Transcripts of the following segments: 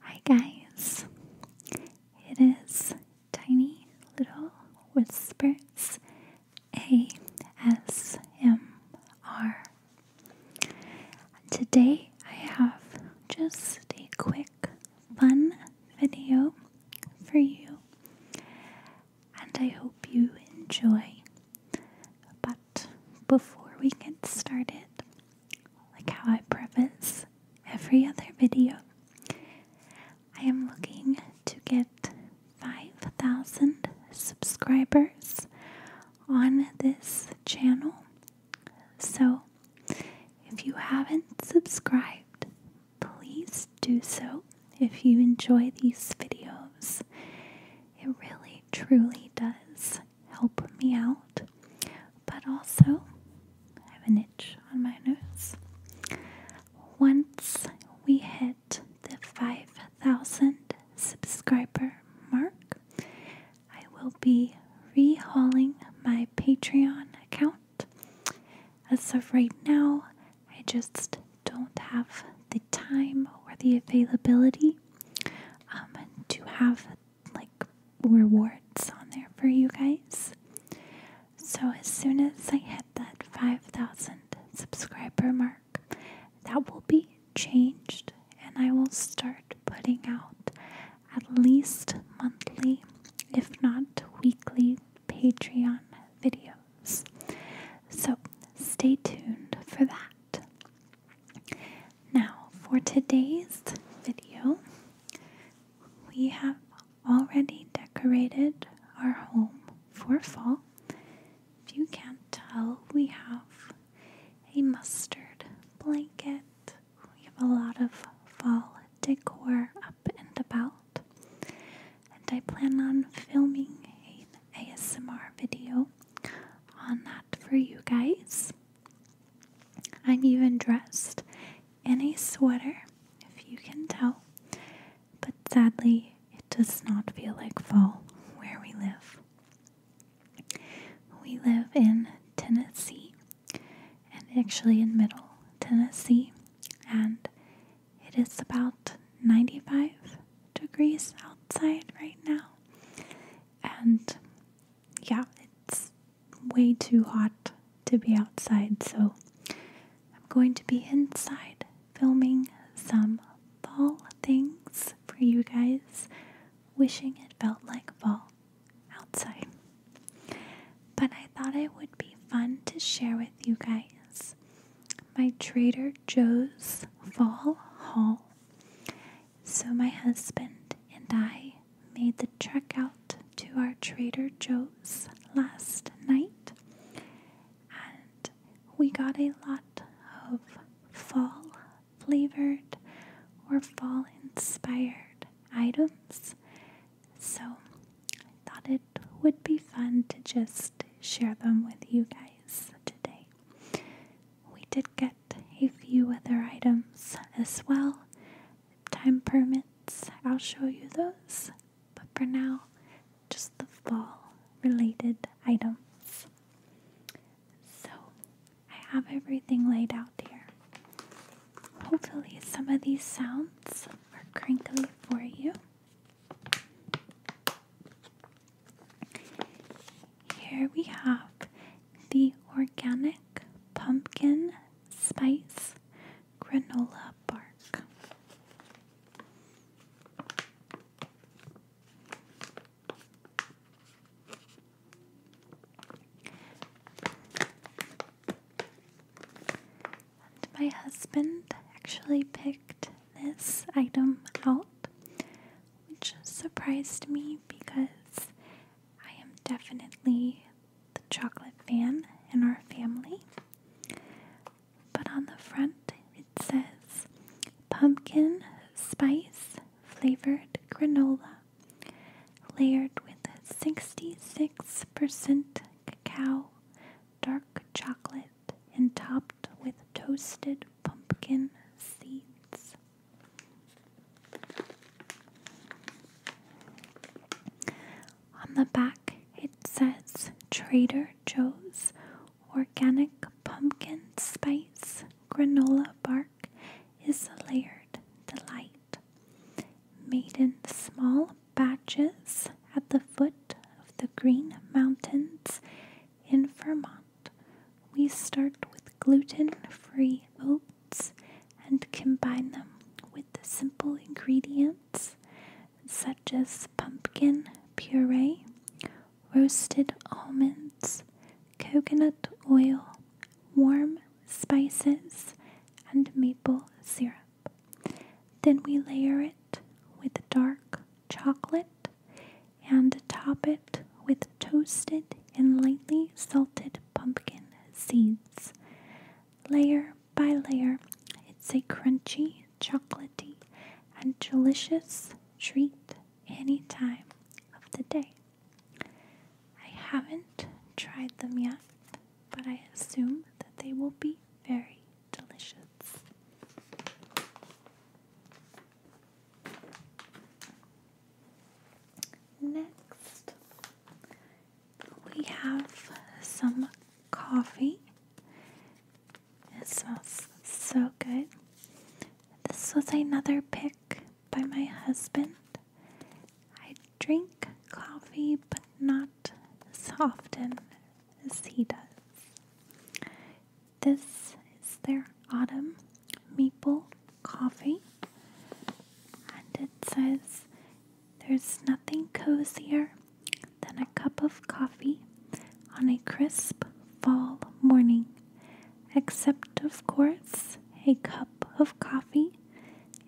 Hi, guys. It is Tiny Little Whispers ASMR. Today I have just a quick, fun video for you, and I hope you enjoy but before we get started, like how I preface every other video, I am looking to get 5,000 subscribers on this channel. So if you haven't subscribed, please do so if you enjoy these videos. It really truly does help me out, but also I have an itch on my nose. Once we hit the 5,000 subscriber mark, I will be rehauling my Patreon account. As of right now, I just don't have the time or the availability um, to have like rewards on there for you guys. So as soon as I hit that 5,000 subscriber mark, that will be changed and I will start putting out at least monthly, if not weekly, Patreon videos. So stay tuned for that. Now, for today's video, we have already decorated our home for fall. If you can't tell, we have a mustard blanket. We have a lot of fall decor up and about. And I plan on filming an ASMR video on that for you guys. I'm even dressed in a sweater, if you can tell, but sadly, it does not feel like fall where we live. We live in Tennessee, and actually in middle Tennessee, and it is about 95 degrees outside right now, and yeah, it's way too hot to be outside, so I'm going to be inside filming some fall things for you guys, wishing it felt like fall outside. But I thought it would be fun to share with you guys my Trader Joe's fall haul. So my husband and I made the trek out to our Trader Joe's last night, and we got a lot of fall flavored or fall inspired items. So I thought it would be fun to just share them with you guys today we did get a few other items as well. time permits, I'll show you those, but for now, just the fall related items. So, I have everything laid out here. Hopefully, some of these sounds are crinkly for you. Here we have the organic pumpkin spice granola bark. my husband actually picked this item out which surprised me because I am definitely the chocolate fan in our family. But on the front, it says pumpkin spice flavored granola layered with 66% cacao, dark chocolate, and topped with toasted pumpkin seeds. On the back, it says Trader Joe's Organic Pumpkin Spice Granola Bark is a layered delight. Made in small batches at the foot of the Green Mountains in Vermont we start with gluten free oats and combine them with the simple ingredients such as pumpkin puree, roasted almonds, coconut oil, warm spices, and maple syrup. Then we layer it with dark chocolate, and top it with toasted and lightly salted pumpkin seeds. Layer by layer, it's a crunchy, chocolaty, and delicious treat any time of the day. I haven't tried them yet, but I assume that they will be very delicious. Next, we have some coffee. It smells so good. This was another pick by my husband. I drink coffee, but not as often as he does. This is their autumn maple coffee, and it says there's nothing cozier than a cup of coffee on a crisp fall morning, except, of course, a cup of coffee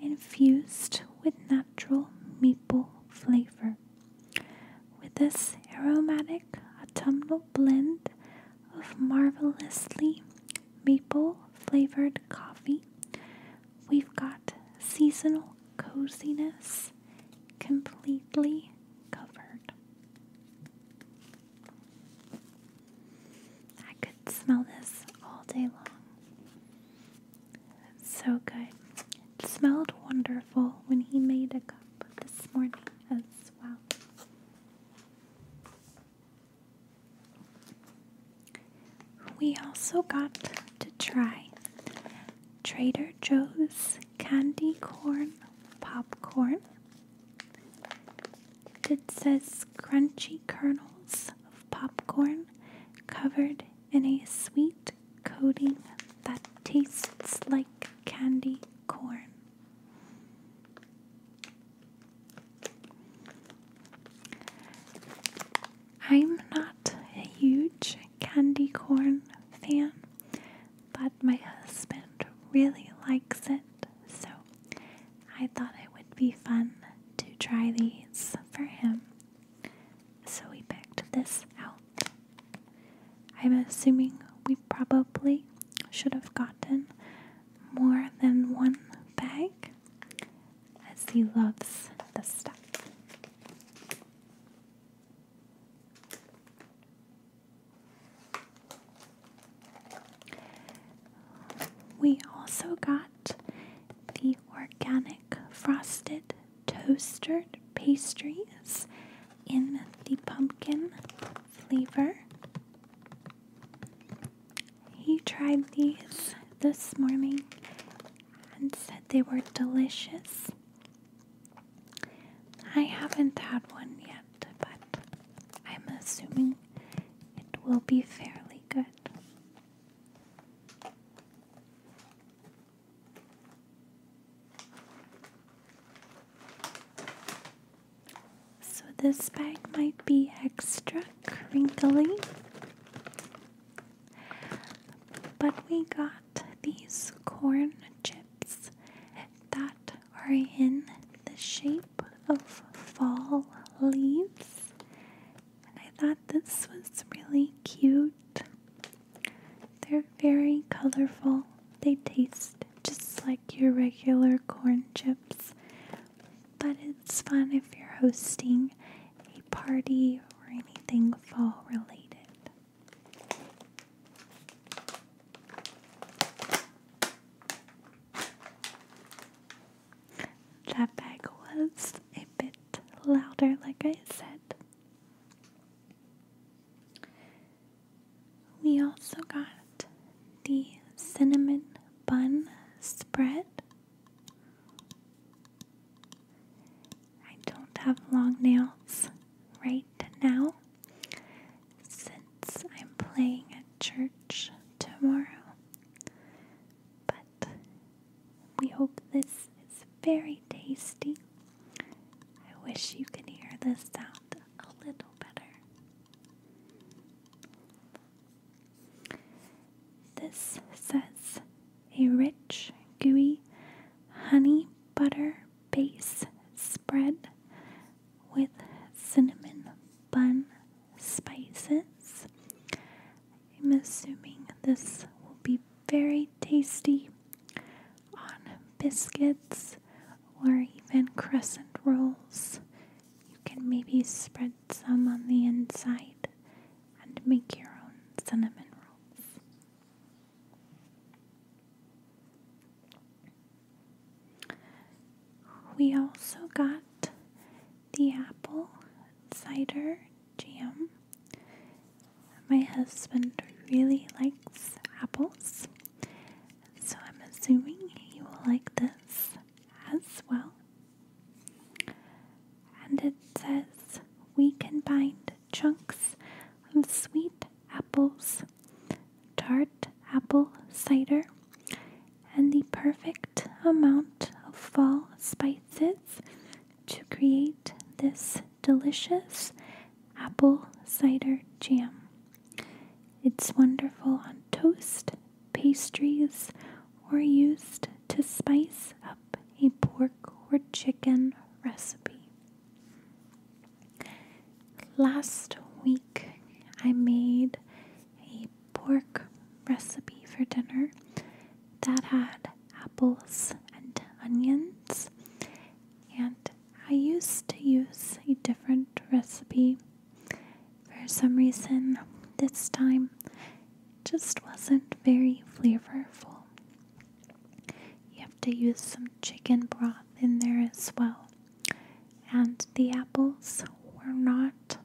infused with natural maple flavor. With this aromatic autumnal blend of marvelously maple flavored coffee. We've got seasonal coziness completely covered. I could smell this all day long. It's so good. smelled wonderful when he made a up this morning as well. We also got to try Trader Joe's candy corn popcorn. It says crunchy kernels of popcorn covered in a sweet coating that tastes like candy corn. I'm not a huge candy corn fan, but my husband really likes it, so I thought it would be fun to try these for him. So we picked this out. I'm assuming we probably should have gotten more than one bag, as he loves the stuff. We also got the organic frosted toasted pastries in the pumpkin flavor. He tried these this morning and said they were delicious. I haven't had one yet, but I'm assuming it will be fairly good. So, this bag might be extra crinkly, but we got these corn chips that are in the shape of fall leaves, and I thought this was really cute. They're very colorful. They taste just like your regular corn chips, but it's fun if you're hosting a party or anything fall related. That bag was a bit louder, like I said, we also got the cinnamon bun spread. I don't have long nails right now since I'm playing at church tomorrow. But we hope this is very tasty. I wish you could hear this sound a little better. This says a rich, gooey honey butter base spread with cinnamon bun spices. I'm assuming this will be very tasty on biscuits or even crescent rolls. You can maybe spread some on the inside and make your own cinnamon rolls. We also got the apple cider jam my husband really likes apples, so I'm assuming he will like this as well. And it says we can combined chunks of sweet apples, tart apple cider, and the perfect amount of fall spices to create this delicious apple cider jam. It's wonderful on toast, pastries, or used to spice up a pork or chicken recipe. Last week, I made a pork recipe for dinner that had apples and onions. And I used to use a different recipe. For some reason, this time just wasn't very flavorful. You have to use some chicken broth in there as well. And the apples were not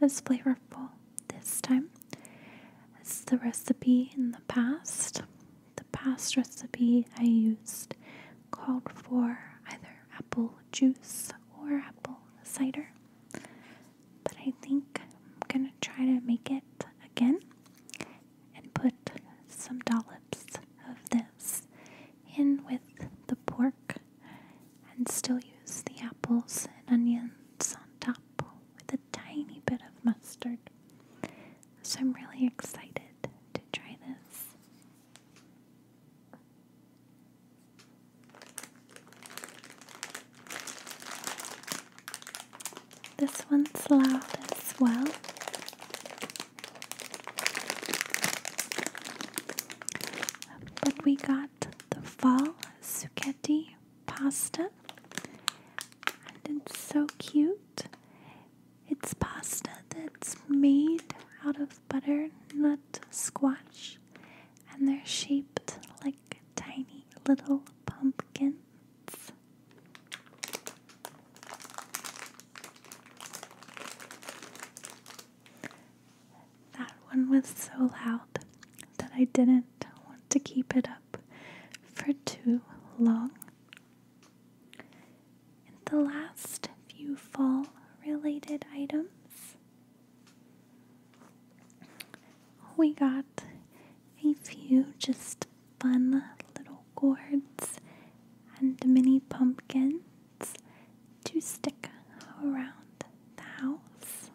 as flavorful this time. It's the recipe in the past. The past recipe I used called for either apple juice or apple cider, but I think I'm gonna try to make it again and put some dollops of this in with the pork and still use the apples and onions on top with a tiny bit of mustard. So I'm really excited to try this. This one's loud as well. But we got the fall suketi pasta. And it's so cute. It's pasta that's made out of butternut squash, and they're shaped like tiny little pumpkins. That one was so loud that I didn't want to keep it up for too long. And the last few fall related items we got a few just fun little gourds and mini pumpkins to stick around the house.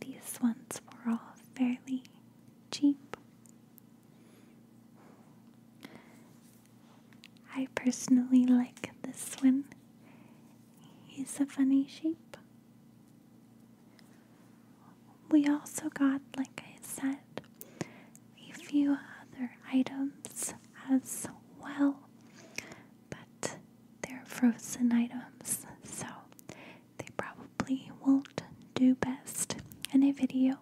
These ones were all fairly cheap. I personally like this one. He's a funny shape. We also got, like I said, a few other items as well, but they're frozen items, so they probably won't do best in a video.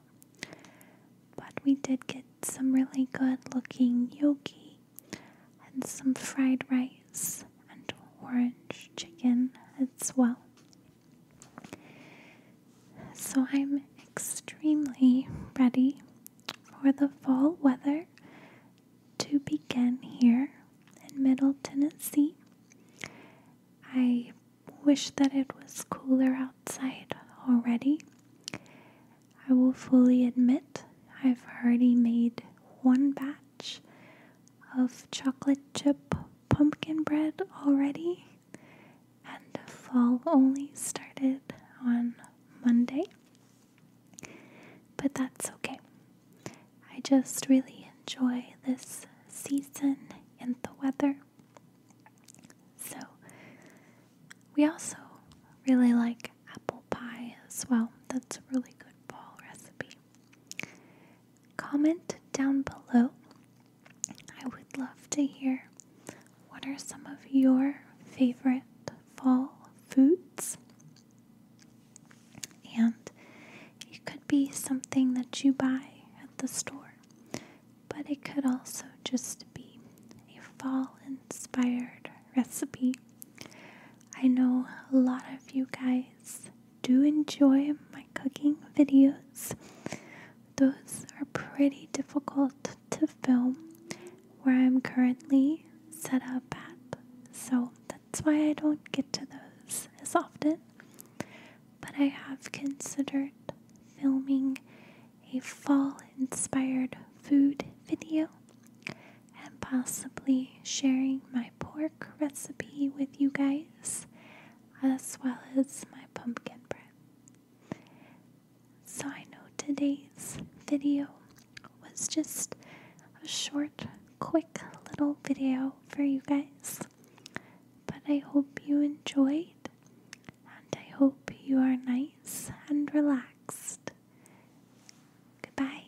But we did get some really good looking yoki and some fried rice and orange chicken as well. So I'm extremely ready for the fall weather to begin here in Middle Tennessee. I wish that it was cooler outside already. I will fully admit I've already made one batch of chocolate chip pumpkin bread already, and fall only started on Monday. But that's okay. I just really enjoy this season and the weather. So, we also really like apple pie as well. That's a really good fall recipe. Comment down below. I would love to hear what are some of your favorite fall foods. And it could be something that you buy at the store, but it could also just be a fall inspired recipe. I know a lot of you guys do enjoy my cooking videos. Those are pretty difficult to film where I'm currently set up at. So that's why I don't get to those as often. But I have considered filming a fall inspired food video and possibly sharing my pork recipe with you guys as well as my pumpkin bread. So I know today's video was just a short, quick little video for you guys. But I hope you enjoyed, and I hope you are nice and relaxed. Goodbye.